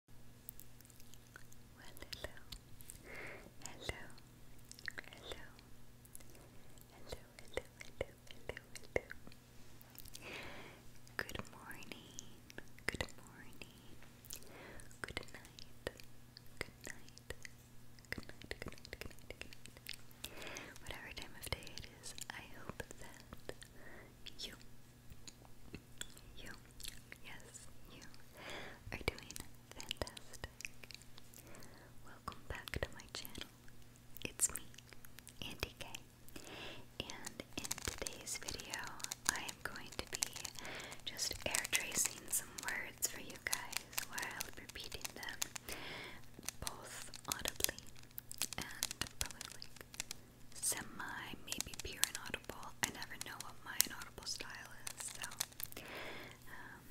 hello, hello, hello, hello, hello, hello, hello, hello. Good morning, good morning, good night, good night, good night, good night, good night, good night. Whatever time of day it is, I hope that you you, yes, you are doing fantastic. Welcome back to my channel. It's me, Andy K. And in today's video, I am going to be just air tracing some words for you guys while repeating them both audibly and poetically semi, maybe pure and audible. I never know what my inaudible style is, so um,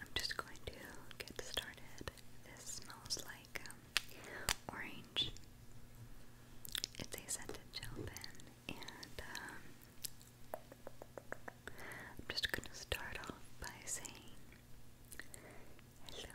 I'm just going to get started. This smells like um, orange. It's a scented gel pen, and um, I'm just going to start off by saying hello,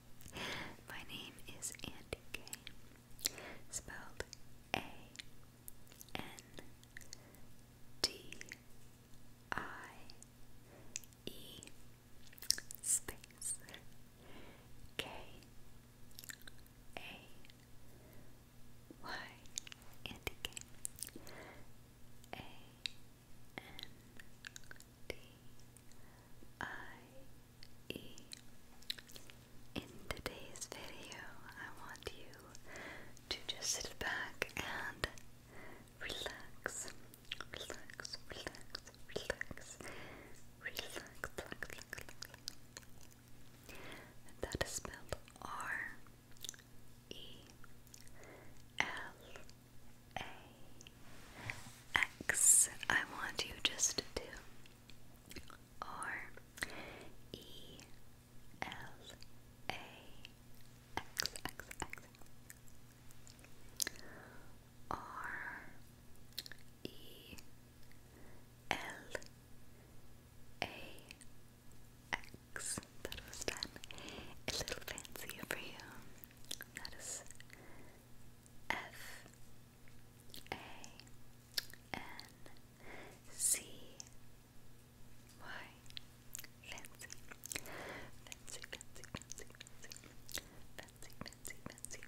My name is Andy Kane, spelled A N D I E space K A Y Andy Kane A D I E. In today's video, I want you to just sit back and relax, relax, relax, relax, relax, relax, that is spelled R E L a X. I want you just to do R E L A X X X R E L A X. That was done a little fancier for you. That is F A N C Y Fancy Fancy Fancy Fancy Fancy Fancy Fancy Fancy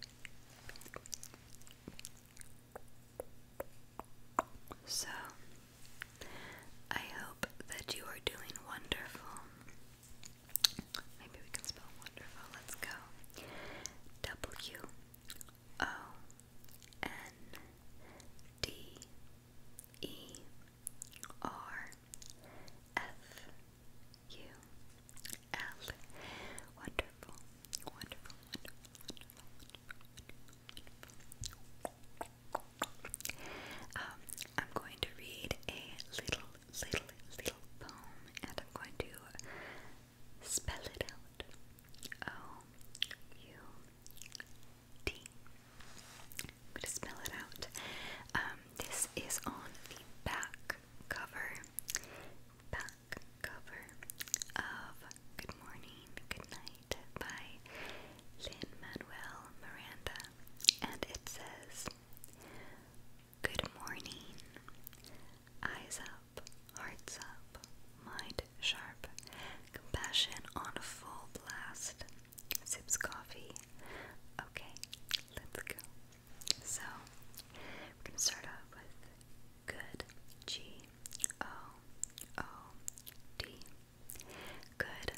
So I hope that you are doing wonderful Maybe we can spell wonderful. Let's go. W O N D E R F U L. Wonderful, wonderful, wonderful, wonderful, wonderful. wonderful. Um, I'm going to read a little little, little poem, and I'm going to spell it out. O U D. I'm going to spell it out. Um, this is on the back cover, back cover of Good Morning, Good Night by Lin Manuel Miranda, and it says. Good morning. Eyes up, hearts up, mind sharp, compassion on full blast. Sips coffee. Okay, let's go. So, we start off with good. G O O D. Good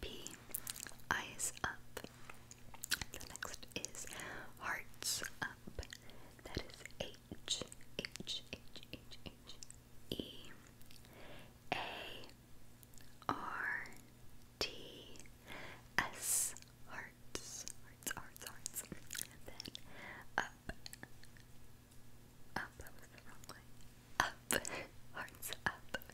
P. Eyes up. The next is hearts up. That is H. H. H. H. H. E. A. R. T. S. Hearts. Hearts. Hearts. Hearts. then up. Up. That was the wrong way. Up. Hearts up.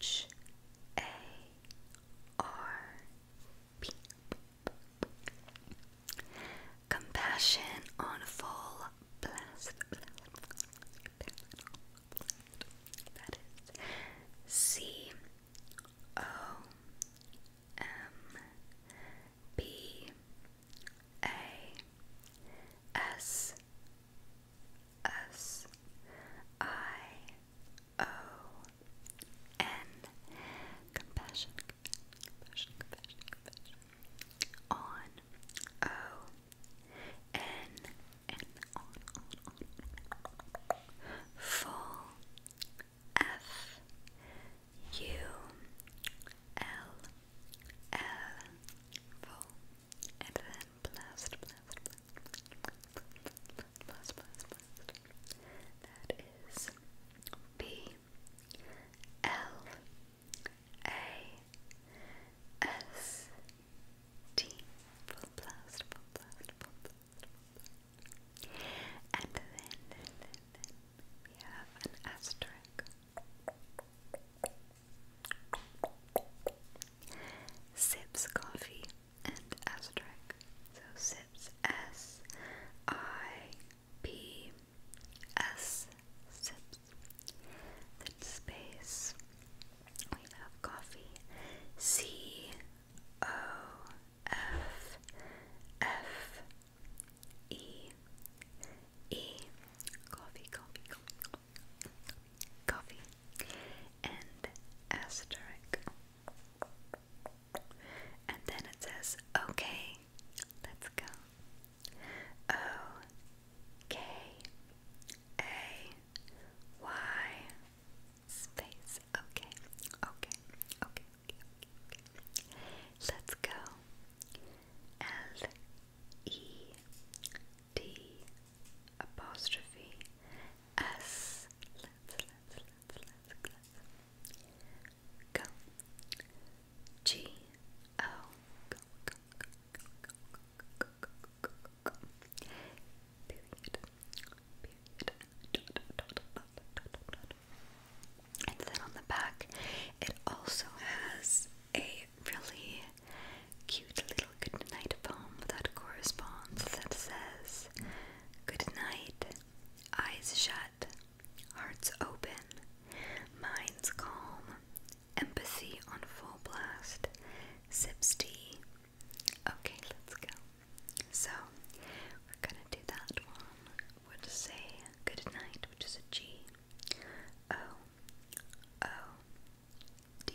H A R P. Compassion on full blast. That is C O M B A S S I O N. Compassion, compassion, compassion, compassion. On. O. N. N. On, on, on. Full. F. U. L. L. Full. And then blast, blast, blast, plus, plus, plus. That is B L A S T full blast, full blast, full blast, full blast. And then, then, then, then we have an asterisk. Sips coffee and asterisk. So sips S I P S sips. Then space we have coffee coffee coffee coffee coffee and asterisk. And then it says, okay, let's go. O K A Y space. Okay, okay, okay, okay, Let's go. L E D apostrophe S G O And then on the back, it also has a really cute little goodnight poem that corresponds that says, Good night, eyes shut, hearts open, minds calm, empathy on full blast, sips tea. Okay, let's go. So, we're gonna do that one. Would say good night, which is a G. O O D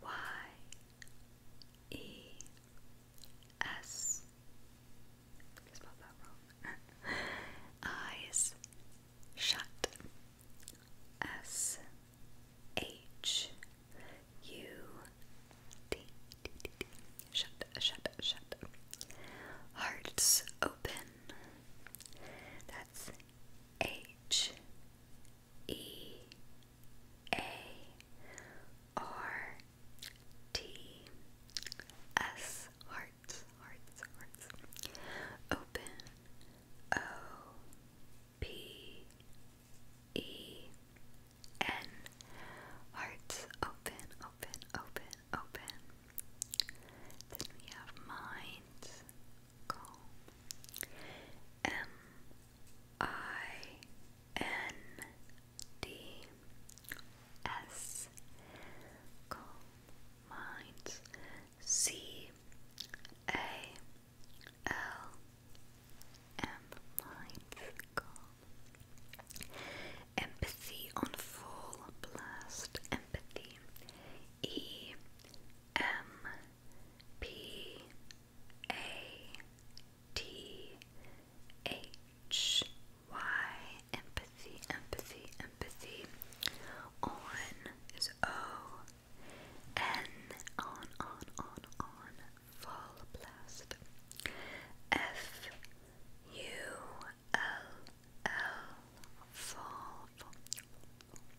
Y E S. I spelled Eyes shut. S H U D. D, D, D. Shut, shut, shut. Hearts open. That's H E A R T S hearts hearts hearts open O P E N hearts open open open open then we have mind calm. M I N D S calm minds. C L M minds Empathy on full blast. Empathy. E M P a T H Y empathy, empathy, empathy. On is O. N on, on, on, on. Full blast. F U L L. Fall. fall, fall, fall, fall.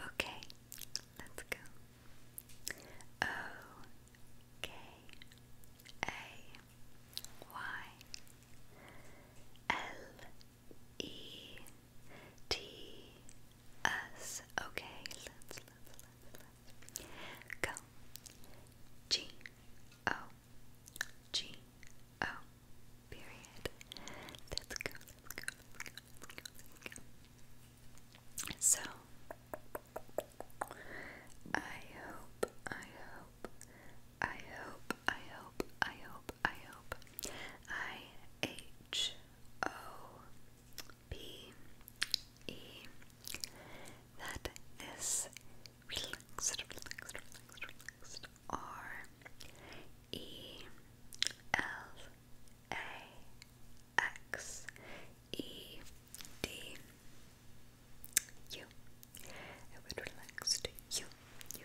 Okay, let's go. O K A Y L E T S. Okay, let's go. G O G O Period. Let's go, So, I hope, I hope, I hope, I hope, I hope, I hope, I H O P E that this relaxed, relaxed, relaxed, relaxed R E L A X E D U. It would relax you. You,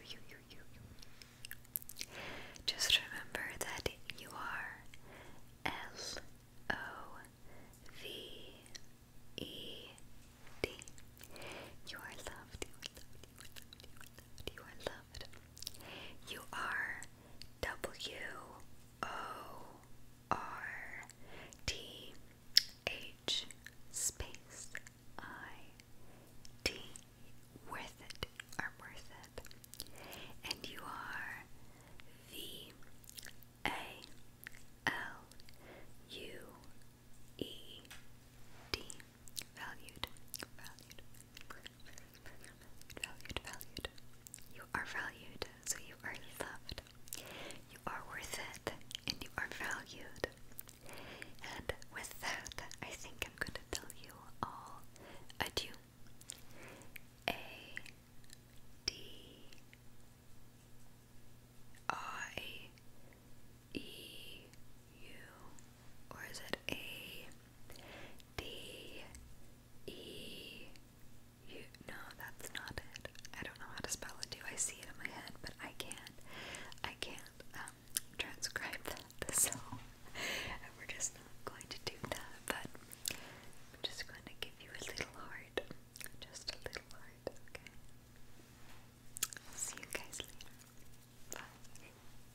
you, you, you, you. Just remember that you are L O V E D. You are loved, you are loved, you are loved, you are loved, you are loved. You are W O R T H space I T. Worth it are worth it. And you are V A L U E D valued, valued, valued, valued. You are valued, so you are loved. You are worth it, and you are valued. And with that, I think I'm going to tell you all adieu. A D I E U or is it A D E U? No, that's not it. I don't know how to spell it. Do I see it in my head? But I can't. I can't um, transcribe that. So we're just not going to do that. But I'm just going to give you a little heart. Just a little heart. Okay. see you guys later. Bye.